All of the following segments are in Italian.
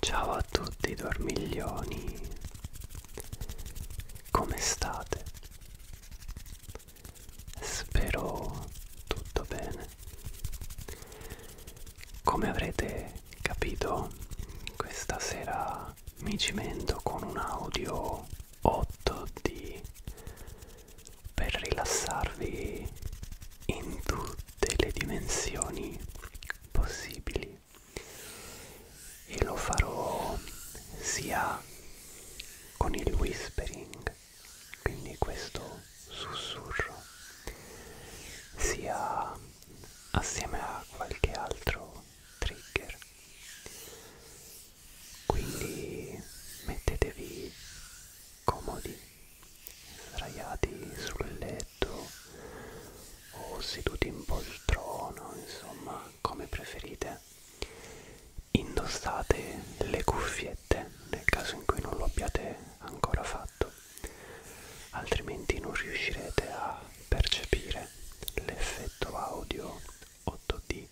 Ciao a tutti dormiglioni, come state? Spero tutto bene. Come avrete capito, questa sera mi cimento con un audio 8D per rilassarvi in tutte le dimensioni possibili e lo farò sia con il whispering quindi questo sussurro sia assieme a qualche altro trigger quindi mettetevi comodi sdraiati sul letto o seduti in poltrona, insomma, come preferite. Indossate le cuffiette nel caso in cui non lo abbiate ancora fatto, altrimenti non riuscirete a percepire l'effetto audio 8D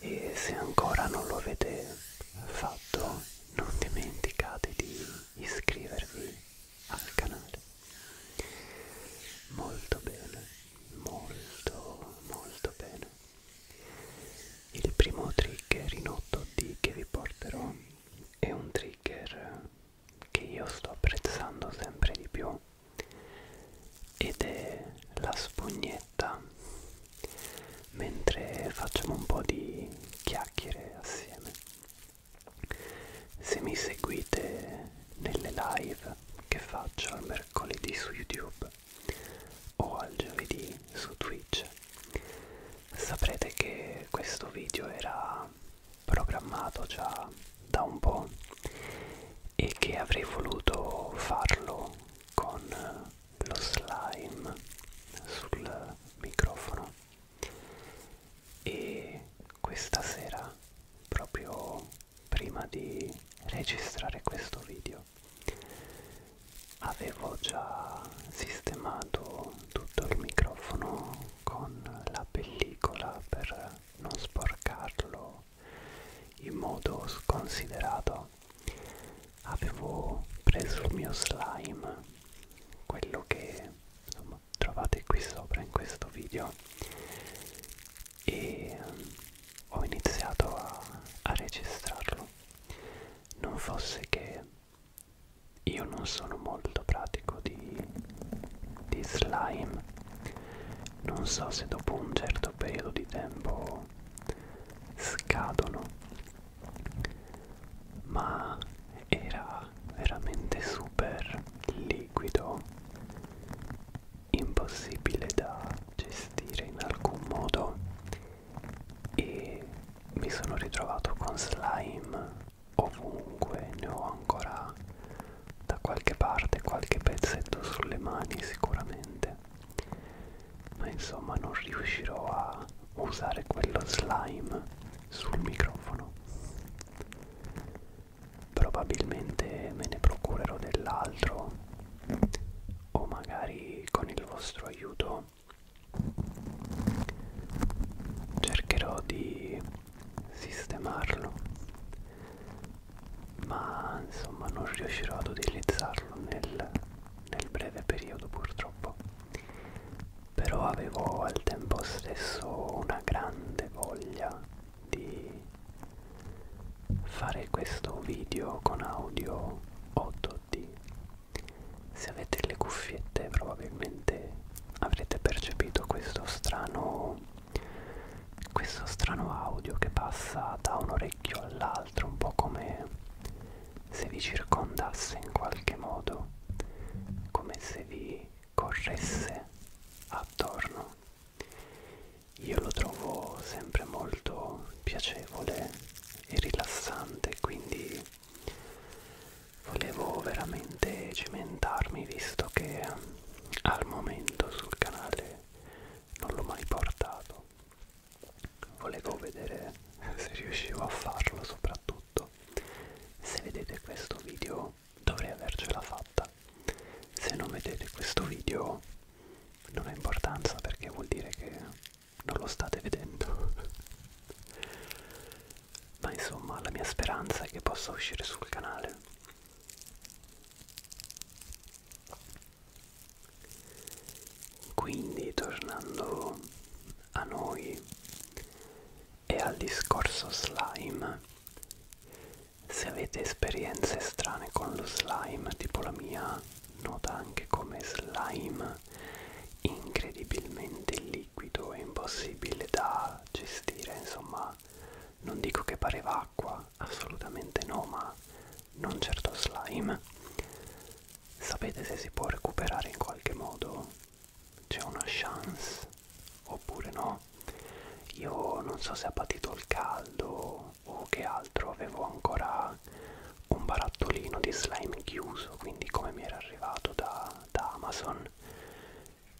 e se ancora non lo avete fatto non dimenticate di iscrivervi al canale molto bene molto molto bene il primo trigger in 8D che vi porterò è un trigger che io sto apprezzando sempre di più ed è la spugnetta macchinetta mentre facciamo un po' di chiacchiere assieme se mi seguite nelle live che faccio al mercoledì su youtube o al giovedì su twitch saprete che questo video era programmato già da un po' e che avrei voluto farlo con lo slime sul microfono e questa sera proprio prima di registrare questo video avevo già sistemato tutto il microfono con la pellicola per non sporcarlo in modo sconsiderato avevo preso il mio slime quello che insomma, trovate qui sopra in questo video e ehm, ho iniziato a, a registrarlo non fosse che io non sono molto pratico di, di slime non so se dopo un certo periodo di tempo scadono ma era veramente super liquido, impossibile da gestire in alcun modo e mi sono ritrovato con slime ovunque, ne ho ancora da qualche parte, qualche pezzetto sulle mani sicuramente ma insomma non riuscirò a usare quello slime sul microfono probabilmente me ne procurerò dell'altro o magari con il vostro aiuto cercherò di sistemarlo ma insomma non riuscirò ad utilizzarlo nel nel breve periodo purtroppo però avevo al tempo stesso una grande voglia di fare questo video con audio 8D se avete le cuffiette probabilmente avrete percepito questo strano questo strano audio che passa da un orecchio all'altro un po' come se vi circondasse in qualche modo, come se vi corresse attorno. Io lo trovo sempre molto piacevole e rilassante, quindi volevo veramente cimentarmi visto che al momento sul canale non l'ho mai portato volevo vedere se riuscivo a farlo soprattutto se vedete questo video dovrei avercela fatta se non vedete questo video non ha importanza perché vuol dire che non lo state vedendo ma insomma la mia speranza è che possa uscire sul canale quindi tornando a noi e al discorso slime, se avete esperienze strane con lo slime, tipo la mia nota anche come slime incredibilmente liquido e impossibile da gestire, insomma non dico che pareva acqua, assolutamente no, ma non certo slime Sapete se si può recuperare in qualche modo? C'è una chance oppure no? Io non so se ha patito il caldo o che altro, avevo ancora un barattolino di slime chiuso, quindi come mi era arrivato da, da Amazon.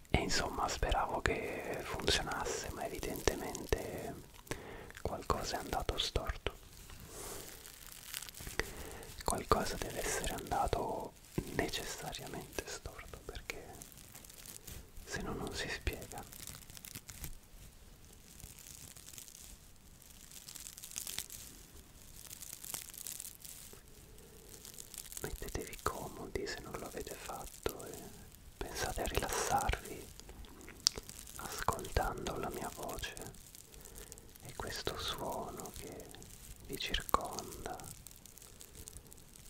E insomma speravo che funzionasse, ma evidentemente qualcosa è andato storto qualcosa deve essere andato necessariamente storto perché se no non si spiega mettetevi comodi se non lo avete fatto e pensate a rilassarvi ascoltando la mia voce e questo suono che vi circonda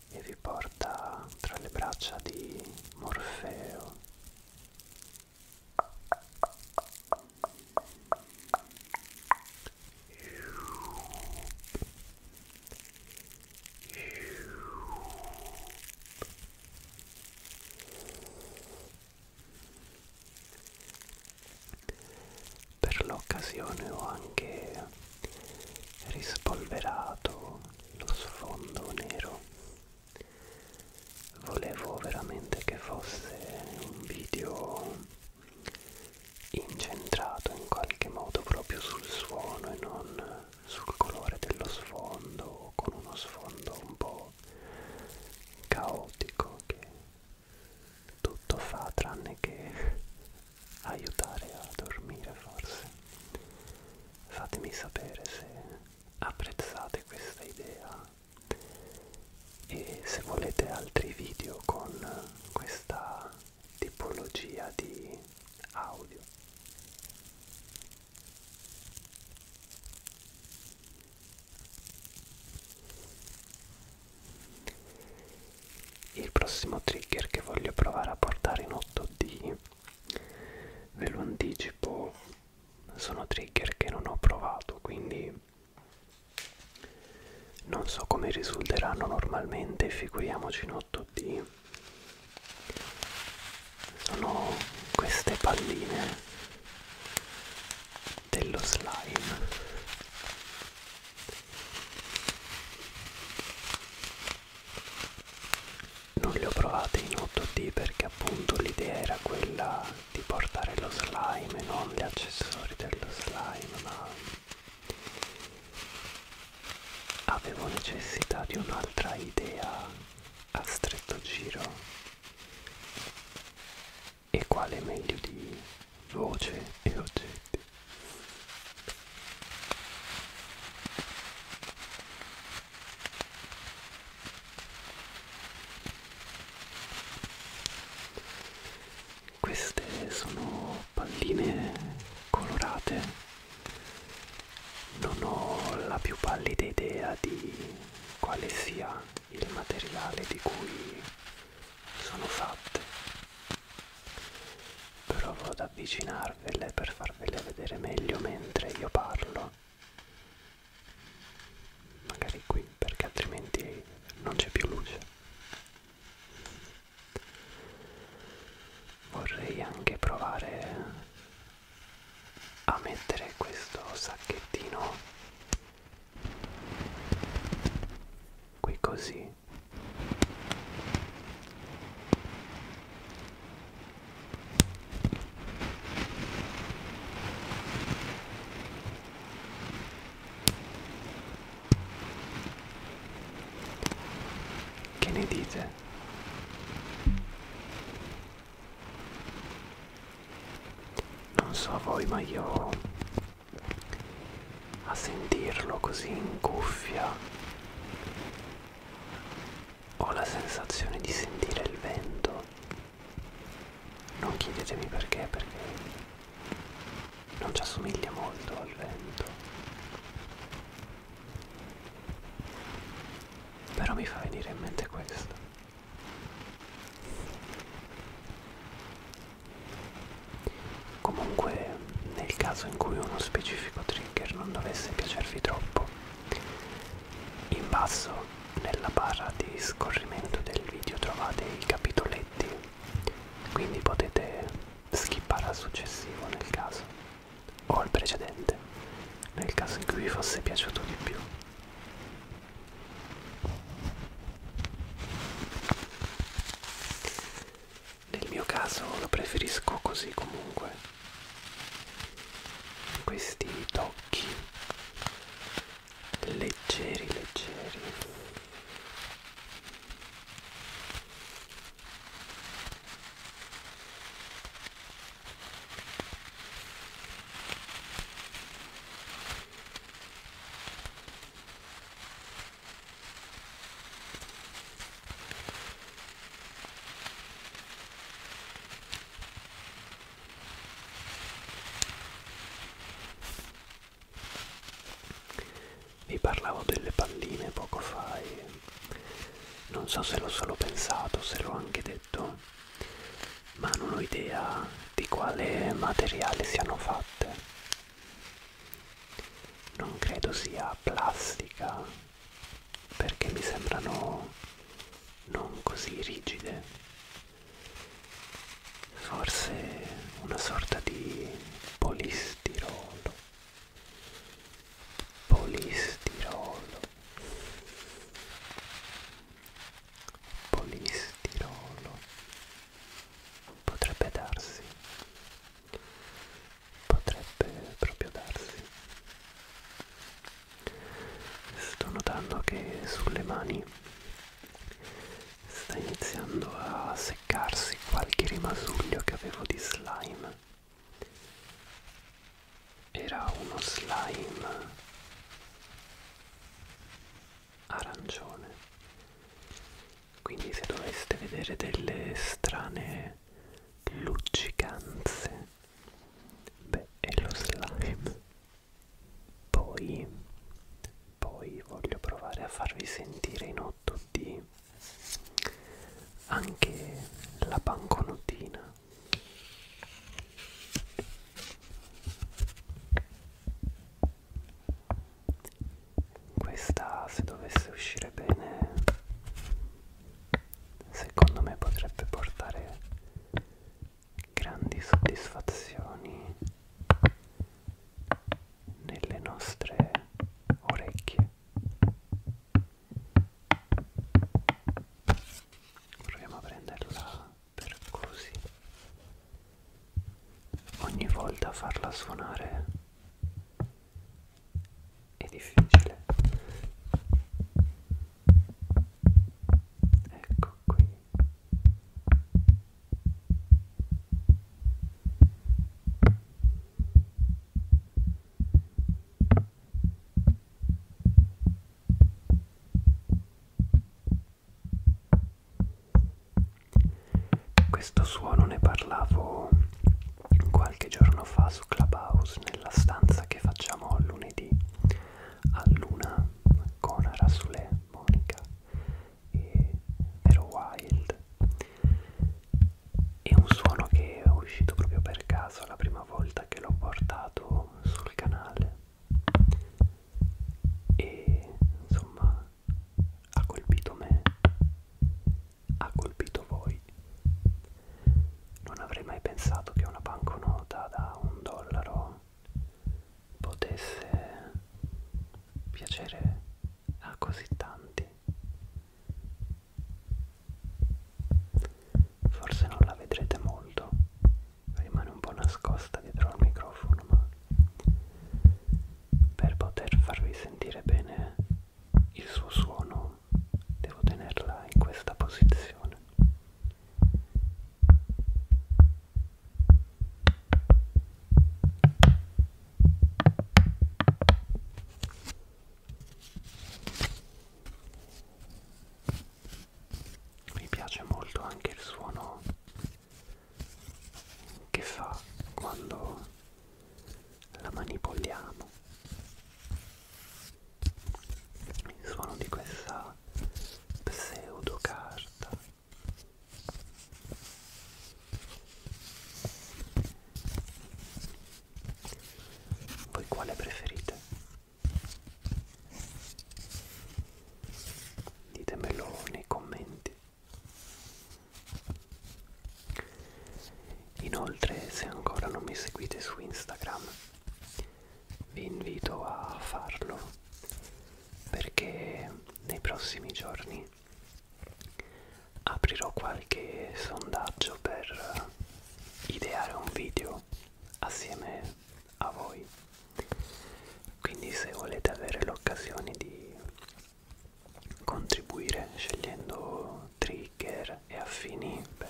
e vi porta tra le braccia di Morfeo. Per l'occasione ho anche rispolverato lo sfondo nero. Volevo veramente che fosse un video incentrato in qualche modo proprio sul suono e non sul colore dello sfondo con uno sfondo un po' po' caotico che tutto fa tranne che aiutare a dormire forse fatemi sapere se apprezzate questa idea e se volete altri video con questa tipologia di audio il prossimo trigger che voglio provare a portare in 8D, ve lo anticipo, sono trigger che non ho provato, quindi non so come risulteranno normalmente, figuriamoci in 8D. Sono queste palline dello slime non li ho provati in 8D perché appunto l'idea era quella di portare lo slime e non gli accessori dello slime ma avevo necessità di un'altra idea a stretto giro e quale meglio di voce e oggetti queste sono palline colorate non ho la più pallida idea di quale sia il materiale di cui sono fatte provo ad avvicinarvele per farvele vedere meglio mentre io parlo magari qui perché altrimenti non c'è più luce vorrei anche provare a mettere questo sacchettino qui così che ne dite non so voi ma io a sentirlo così in cuffia ho la sensazione di sentire il vento non chiedetemi perché perché non ci assomiglia molto al vento però mi fa venire in mente questo Comunque, nel caso in cui uno specifico trigger non dovesse piacervi troppo, in basso nella barra di scorrimento del video trovate i capitoletti, quindi potete skippare al successivo nel caso, o al precedente, nel caso in cui vi fosse piaciuto di più. Nel mio caso lo preferisco così comunque. Questi tocchi leggeri, leggeri. Vi parlavo delle palline poco fa e non so se l'ho solo pensato, se l'ho anche detto oggetto ma non ho idea di quale materiale siano fatte non credo sia plastica perché mi sembrano non così rigide forse una sorta di polistirolo polistirolo polistirolo potrebbe darsi potrebbe proprio darsi sto notando che sulle mani sta iniziando a seccarsi qualche rimasuglio che avevo di slime era uno slime arancione quindi se doveste vedere delle strane luccicanze beh è lo slime poi poi voglio provare a farvi sentire in 8D anche la banconotina questa se dovesse uscire bene secondo me potrebbe portare grandi soddisfazioni nelle nostre orecchie. Proviamo a prenderla per così ogni volta farla suonare è difficile ecco qui questo suono ne parlavo qualche giorno fa su Clubhouse nella stanza che facciamo lunedì a luna con Rasulè, Monica e Vero Wild. È un suono che è uscito proprio per caso la prima volta che l'ho portato sul canale e insomma ha colpito me ha colpito voi non avrei mai pensato che una banconota da un dollaro potesse piacere a così tanti forse non la vedrete molto rimane un po' nascosta dietro al microfono ma per poter farvi sentire bene il suo suono devo tenerla in questa posizione mi piace molto anche il suono che fa quando la manipoliamo il suono di questa pseudo carta voi quale preferite ditemelo nei commenti inoltre se ancora non mi seguite su Instagram vi invito a farlo perché nei prossimi giorni aprirò qualche sondaggio per ideare un video assieme a voi quindi se volete avere l'occasione di contribuire scegliendo trigger e affini beh,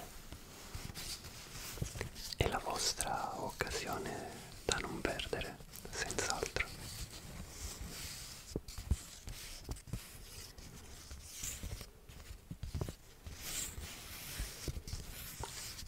è la vostra occasione da non perdere senz'altro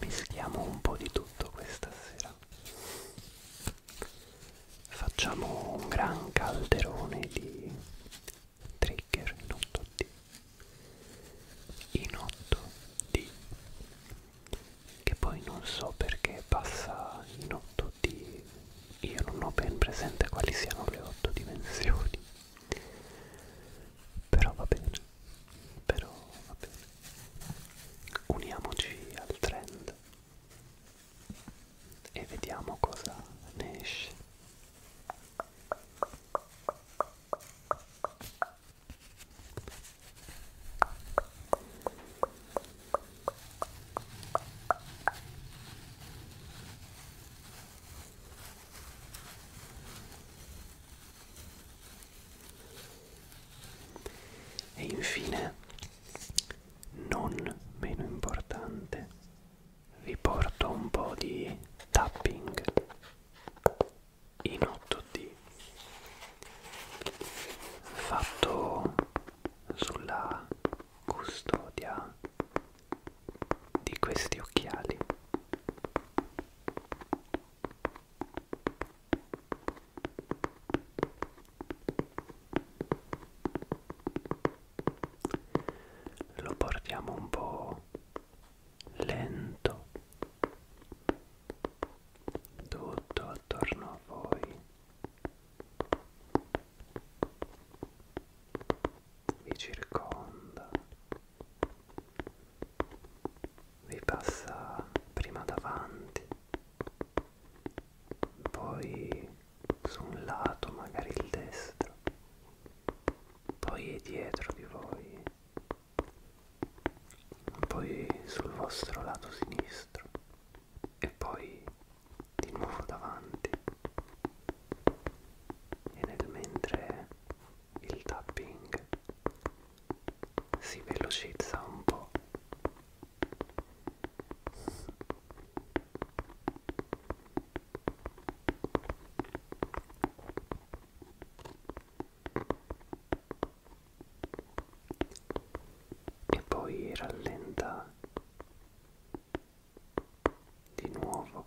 Mischiamo un po' di tutto questa sera. Facciamo un gran calderone di trigger in 8D. In 8D. Che poi non so perché passa in 8D. Io non ho ben presente quali siano le 8 dimensioni. Però va bene però va bene uniamoci al trend e vediamo cosa ne esce e infine, non meno importante, vi porto un po' di tapping in 8D fatto sulla custodia di questi occhiali lo portiamo un po' lento tutto attorno a voi vi circonda vi passa prima davanti poi su un lato magari il destro poi è dietro di voi poi sul vostro lato sinistro e poi di nuovo davanti e nel mentre il tapping si velocizza un po' e poi rallenta di nuovo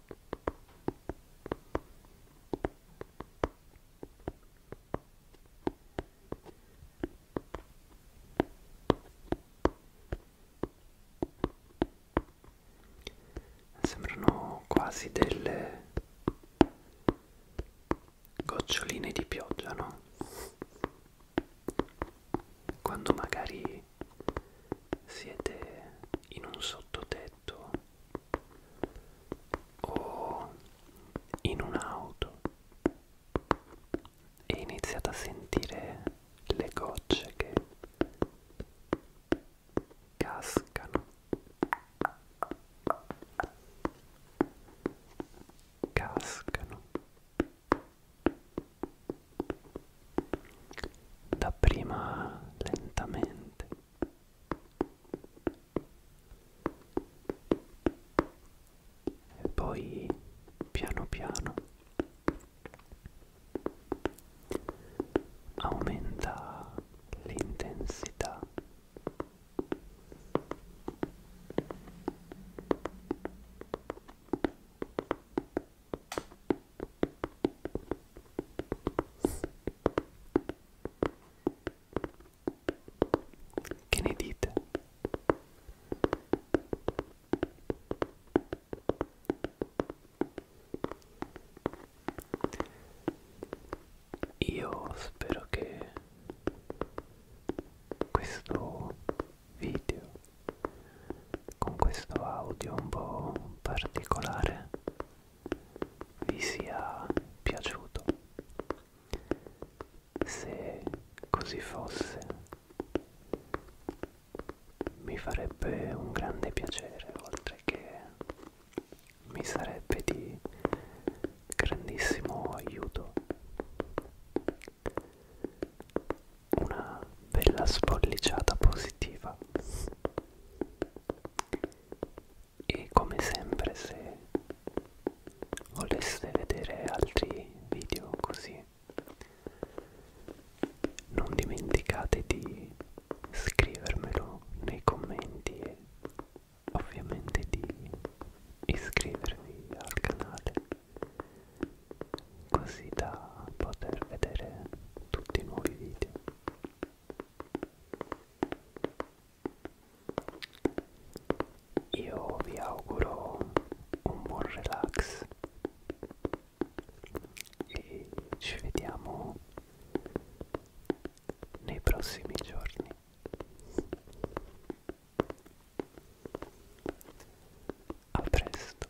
Sembrano quasi delle goccioline di pioggia, no? Quando magari siete in un sottoterra letto o in un'auto e iniziate a sentire le gocce che cascano cascano dapprima lentamente e poi piano piano aumenta l'intensità che ne dite? Io spero che questo video con questo audio un po' particolare vi sia piaciuto. Se così fosse, mi farebbe un grande piacere, oltre che mi sarebbe di grandissimo aiuto una bella spolliciata positiva e come sempre se voleste vedere altri video così non dimenticate di scrivermelo nei commenti e ovviamente di iscrivervi al canale così da poter vedere tutti i nuovi video io vi auguro un buon relax e ci vediamo nei prossimi giorni a presto